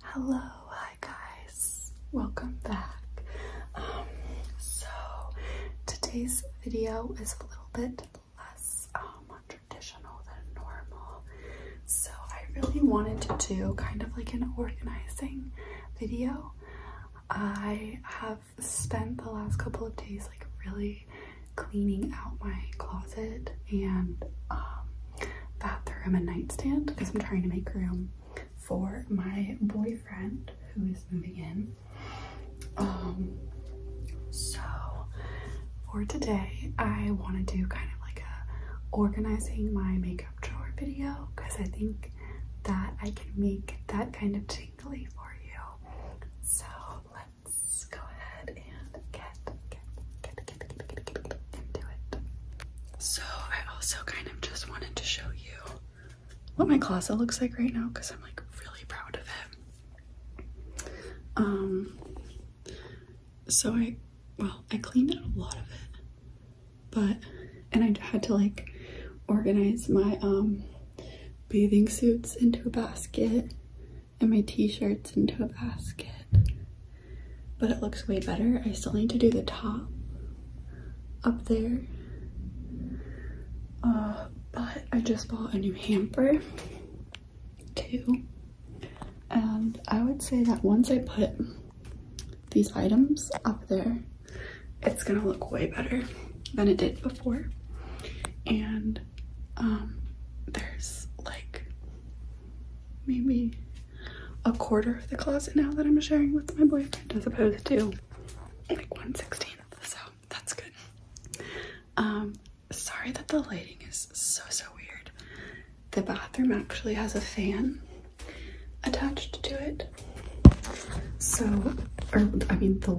Hello, hi guys, welcome back. Um, so today's video is a little bit less um, traditional than normal. So I really wanted to do kind of like an organizing video. I have spent the last couple of days like really cleaning out my closet and um, bathroom and nightstand because I'm trying to make room for my boyfriend who is moving in. Um, so for today, I want to do kind of like a organizing my makeup drawer video because I think that I can make that kind of tingly for you. So let's go ahead and get, get, get, get, get, get, get, get into it. So I also kind of just wanted to show you what my closet looks like right now because I'm like really proud of it. Um, so I, well, I cleaned out a lot of it, but, and I had to like organize my, um, bathing suits into a basket and my t-shirts into a basket, but it looks way better. I still need to do the top up there. Uh, but I just bought a new hamper too. And I would say that once I put these items up there, it's gonna look way better than it did before. And um, there's like maybe a quarter of the closet now that I'm sharing with my boyfriend as opposed to like 116th. So that's good. Um, sorry that the lighting is so so weird. The bathroom actually has a fan attached to it. So, or I mean the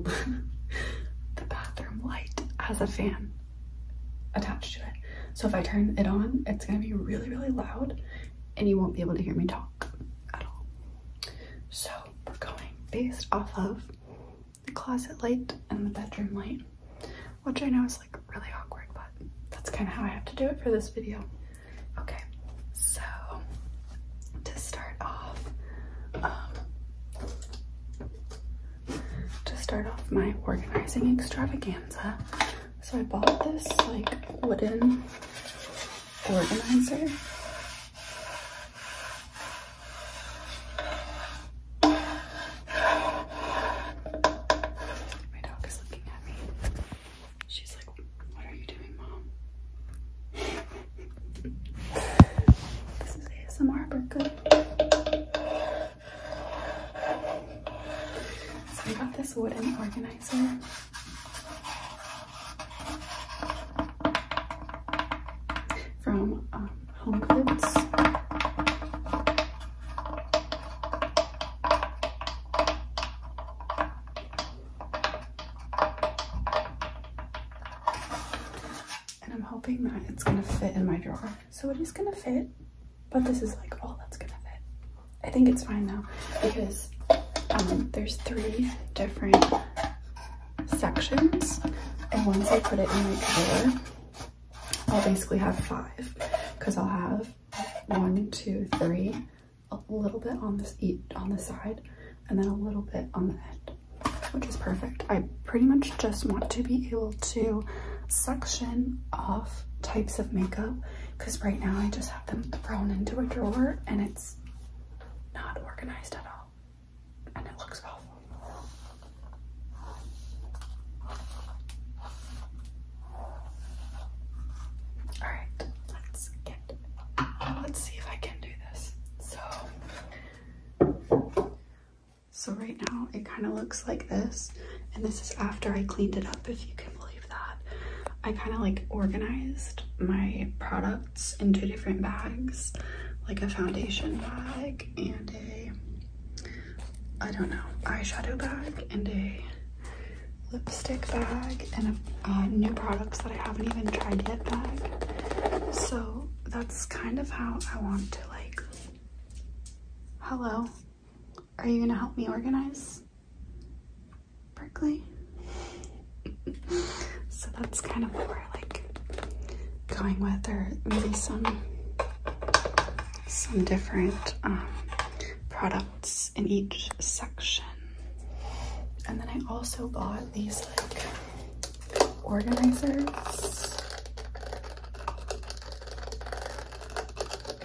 the bathroom light has a fan attached to it. So if I turn it on, it's gonna be really really loud, and you won't be able to hear me talk at all. So we're going based off of the closet light and the bedroom light, which I know is like really awkward, but that's kind of how I have to do it for this video. Okay, so to start off, um, to start off my organizing extravaganza, so I bought this like wooden organizer. My dog is looking at me. She's like, What are you doing, mom? this is ASMR, but So I got this wooden organizer from um, Home Goods. And I'm hoping that it's going to fit in my drawer. So it is going to fit, but this is like all that's going to fit. I think it's fine now because um, there's three different sections. And once I put it in my drawer, I'll basically have five because I'll have one, two, three, a little bit on this eat on the side, and then a little bit on the end, which is perfect. I pretty much just want to be able to section off types of makeup because right now I just have them thrown into a drawer and it's not organized at all and it looks awful. All right, let's get. Let's see if I can do this. So, so right now it kind of looks like this, and this is after I cleaned it up. If you can believe that, I kind of like organized my products products in two different bags, like a foundation bag and a, I don't know, eyeshadow bag and a lipstick bag and a new products that I haven't even tried yet bag. So that's kind of how I want to like, hello, are you gonna help me organize? Berkeley? so that's kind of what we're like going with, or maybe some some different um, products in each section. And then I also bought these like organizers.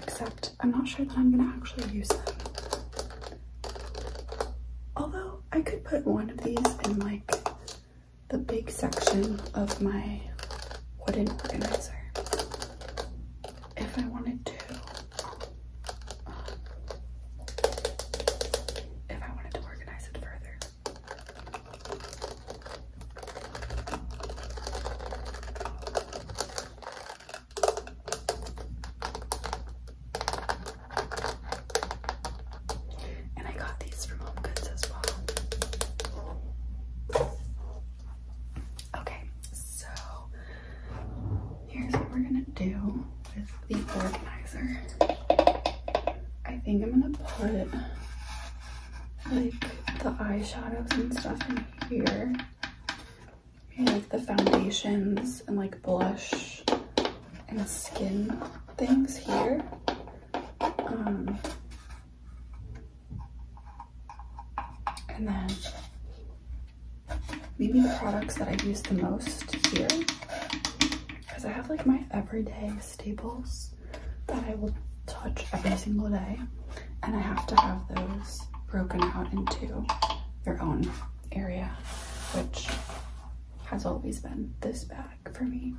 Except I'm not sure that I'm gonna actually use them. Although I could put one of these in my the big section of my wooden organizer. If I wanted to, if I wanted to organize it further. And I got these from Home Goods as well. Okay, so here's what we're gonna do with the organizer. I think I'm gonna put like the eyeshadows and stuff in here. Maybe like the foundations and like blush and skin things here. Um, and then maybe the products that I use the most here. Because I have like my everyday staples that I will touch every single day. And I have to have those broken out into their own area, which has always been this bag for me.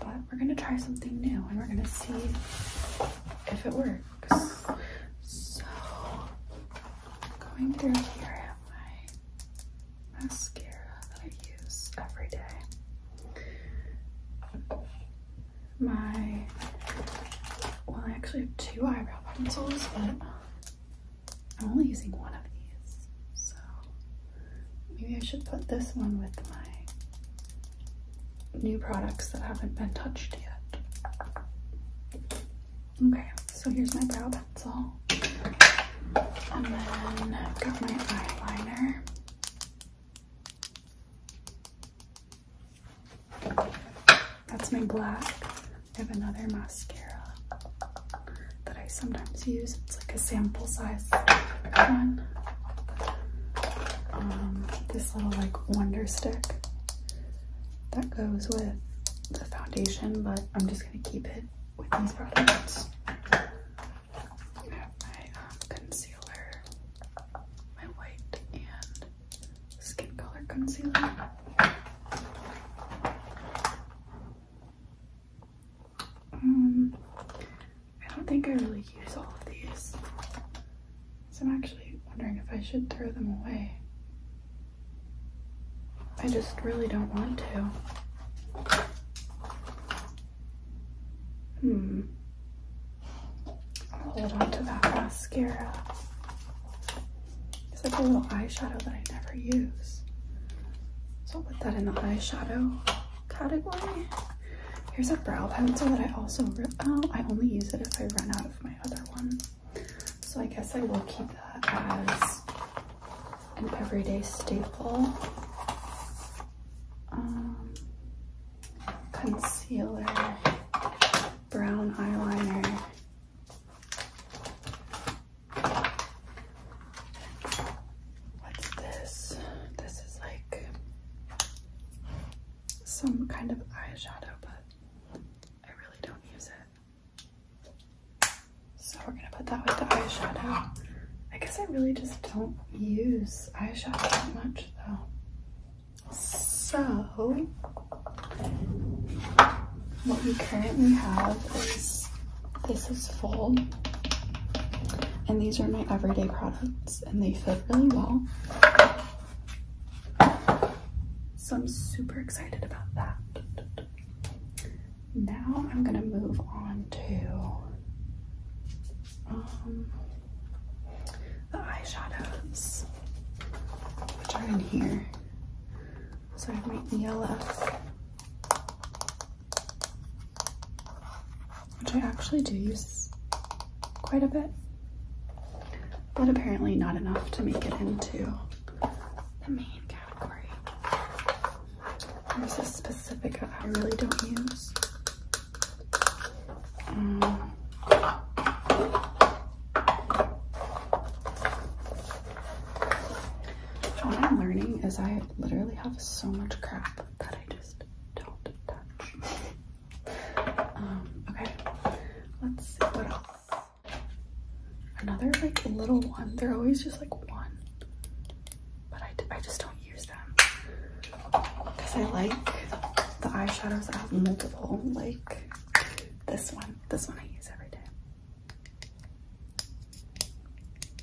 But we're gonna try something new and we're gonna see if it works. So going through here I have my mascara that I use every day. My well I actually have two eyebrow pencils, but I'm only using one of these, so maybe I should put this one with my new products that haven't been touched yet. Okay, so here's my brow pencil. And then I've got my eyeliner. That's my black. I have another mascara that I sometimes use. It's like a sample size one. Um, this little like wonder stick that goes with the foundation, but I'm just gonna keep it with these products. I have my um, concealer, my white and skin color concealer. Um, I don't think I really use all of these. So I'm actually wondering if I should throw them away. I just really don't want to. Hmm. hold on to that mascara. It's like a little eyeshadow that I never use. So I'll put that in the eyeshadow category. Here's a brow pencil that I also, oh, I only use it if I run out of my other one. So I guess I will keep that as an everyday staple. Um, concealer, brown eyeliner, What's this? This is like some kind of eyeshadow, but I really don't use it. So we're gonna put that with the eyeshadow. I guess I really just don't use eyeshadow that much though. So what we currently have is, this is full. And these are my everyday products and they fit really well. So I'm super excited about that. Now I'm gonna move on to um, the eyeshadows, which are in here. So I've made the yellow. Which I actually do use quite a bit, but apparently not enough to make it into the main category. There's a specific I really don't use. Um, what I'm learning is I literally have so much crap that I just don't touch. Um, okay, let's see what else. Another like little one. They're always just like one, but I, I just don't use them because I like the eyeshadows that have multiple. Like this one. This one I use every day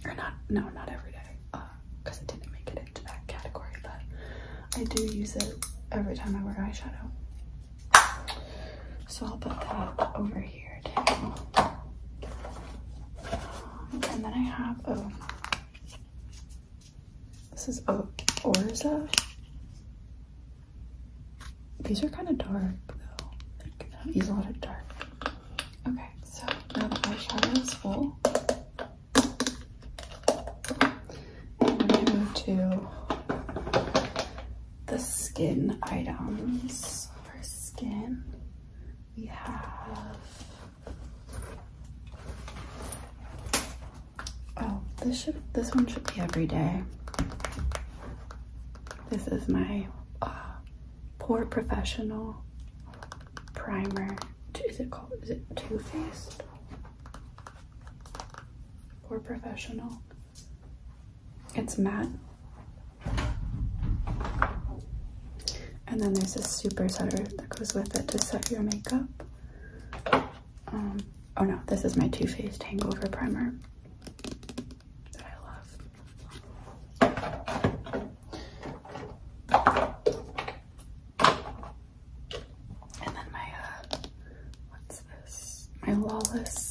or not no not every day because uh, it didn't make it into that category but I do use it every time I wear eyeshadow so I'll put that over here um, and then I have oh this is oh, Orza these are kind of dark though. These are a lot of dark. Okay, so now the eyeshadow is full. I'm gonna move to the skin items. For skin, we have oh, this should this one should be every day. This is my uh, Poor Professional Primer. Is it called? Is it Too Faced? Poor Professional. It's matte. And then there's this super setter that goes with it to set your makeup. Um, oh no, this is my Too Faced Hangover Primer that I love. And then my, uh, what's this? My Lawless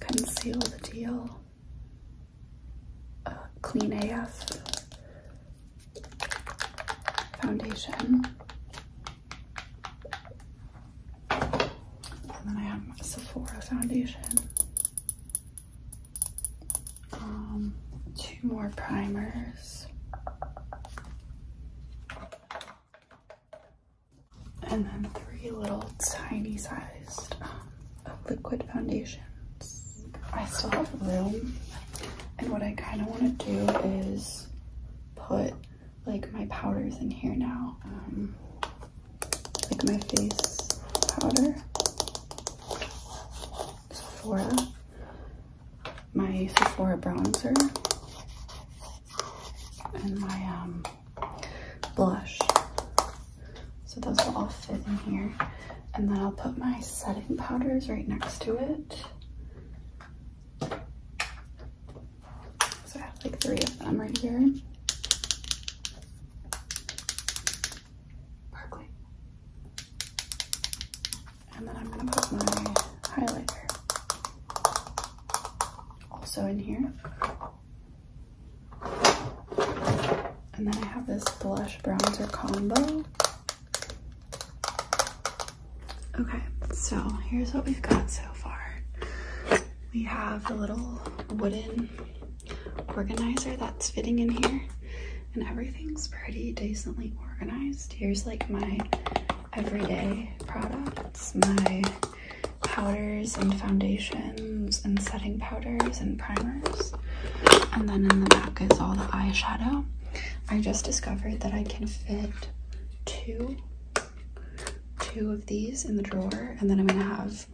Conceal the Deal uh, Clean AF foundation. And then I have Sephora foundation. Um, two more primers. And then three little tiny sized um, liquid foundations. I still have room. And what I kind of want to do is put like my powders in here now. Um, like my face powder Sephora my Sephora bronzer and my um, blush so those will all fit in here and then I'll put my setting powders right next to it so I have like three of them right here. Sparkly. And then I'm gonna put my highlighter also in here. And then I have this blush bronzer combo. Okay, so here's what we've got so far we have the little wooden organizer that's fitting in here and everything's pretty decently organized. Here's like my everyday products, my powders and foundations and setting powders and primers. And then in the back is all the eyeshadow. I just discovered that I can fit two two of these in the drawer and then I'm gonna have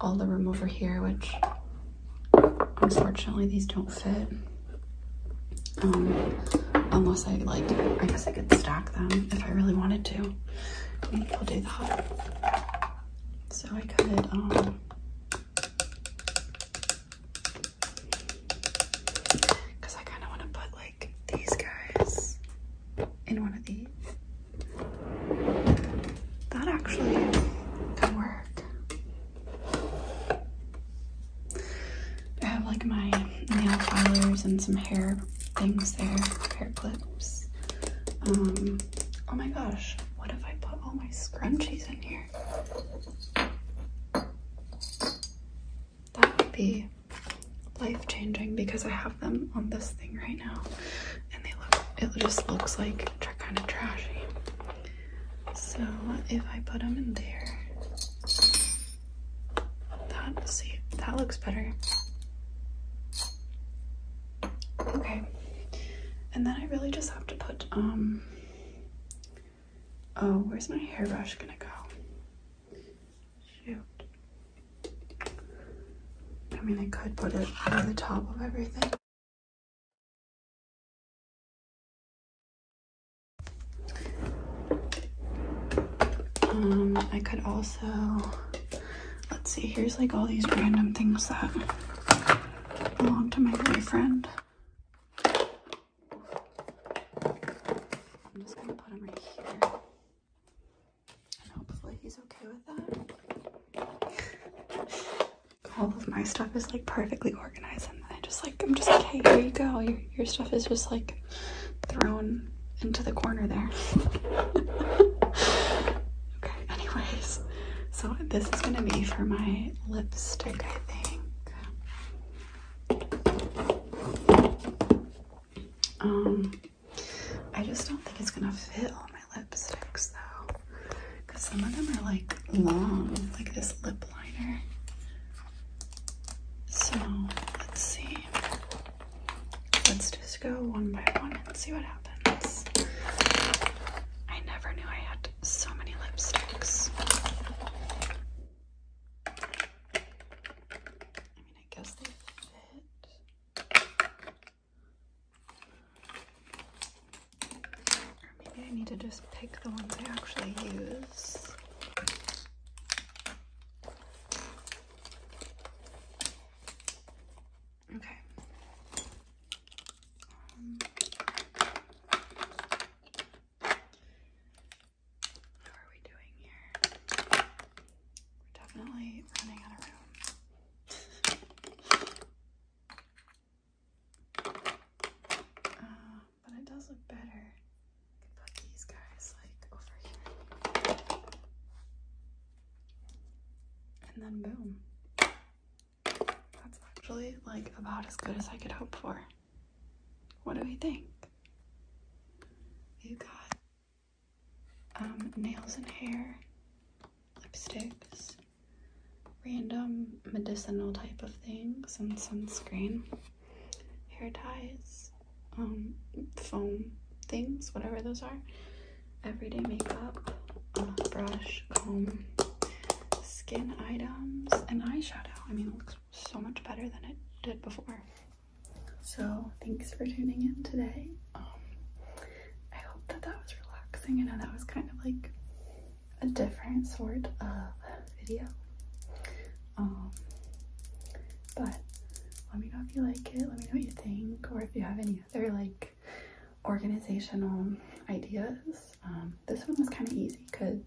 all the room over here which unfortunately these don't fit um, unless I like I guess I could stack them if I really wanted to maybe I'll do that so I could um, because I kind of want to put like these guys in one of these. That actually could work. I have like my nail filers and some hair things there, hair clips. Um, oh my gosh, what if I put all my scrunchies in here? that would be life-changing because I have them on this thing right now and they look it just looks like kind of trashy. So if I put them in there, that see that looks better. Okay. And then I really just have to put um oh, where's my hairbrush gonna go? Shoot. I mean, I could put it on the top of everything. Um, I could also, let's see, here's like all these random things that belong to my boyfriend. I'm just gonna put them right here hopefully he's okay with that. All of my stuff is like perfectly organized and I just like, I'm just like, here you go. Your, your stuff is just like thrown into the corner there. okay, anyways. So this is gonna be for my lipstick, I think. Um, I just don't think it's gonna fit all my lipsticks though, because some of them are like long, like this lip liner. So let's see. Let's just go one by one and see what happens. I never knew I had so many lipsticks. I guess they fit. maybe I need to just pick the ones I actually use. Okay. Um, how are we doing here? We're definitely running out of room. Uh, but it does look better. could put these guys like over here. And then boom. That's actually like about as good as I could hope for. What do we think? You got um, nails and hair, lipsticks, random medicinal type of things, and sunscreen, hair ties, um, foam things, whatever those are, everyday makeup, uh, brush, comb, skin items, and eyeshadow. I mean, it looks so much better than it did before. So thanks for tuning in today. Um, I hope that that was relaxing. I know that was kind of like a different sort of video. Um, but let me know if you like it. Let me know what you think or if you have any other like organizational ideas. Um, this one was kind of easy because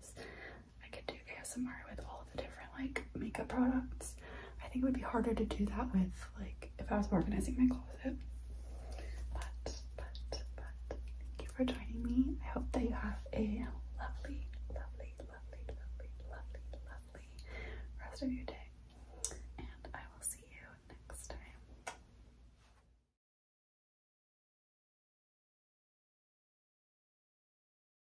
I could do ASMR with all the different like makeup products. I think it would be harder to do that with like if I was organizing my closet. But but but thank you for joining me. I hope that you have a lovely, lovely, lovely, lovely, lovely, lovely rest of your day. And I will see you next time.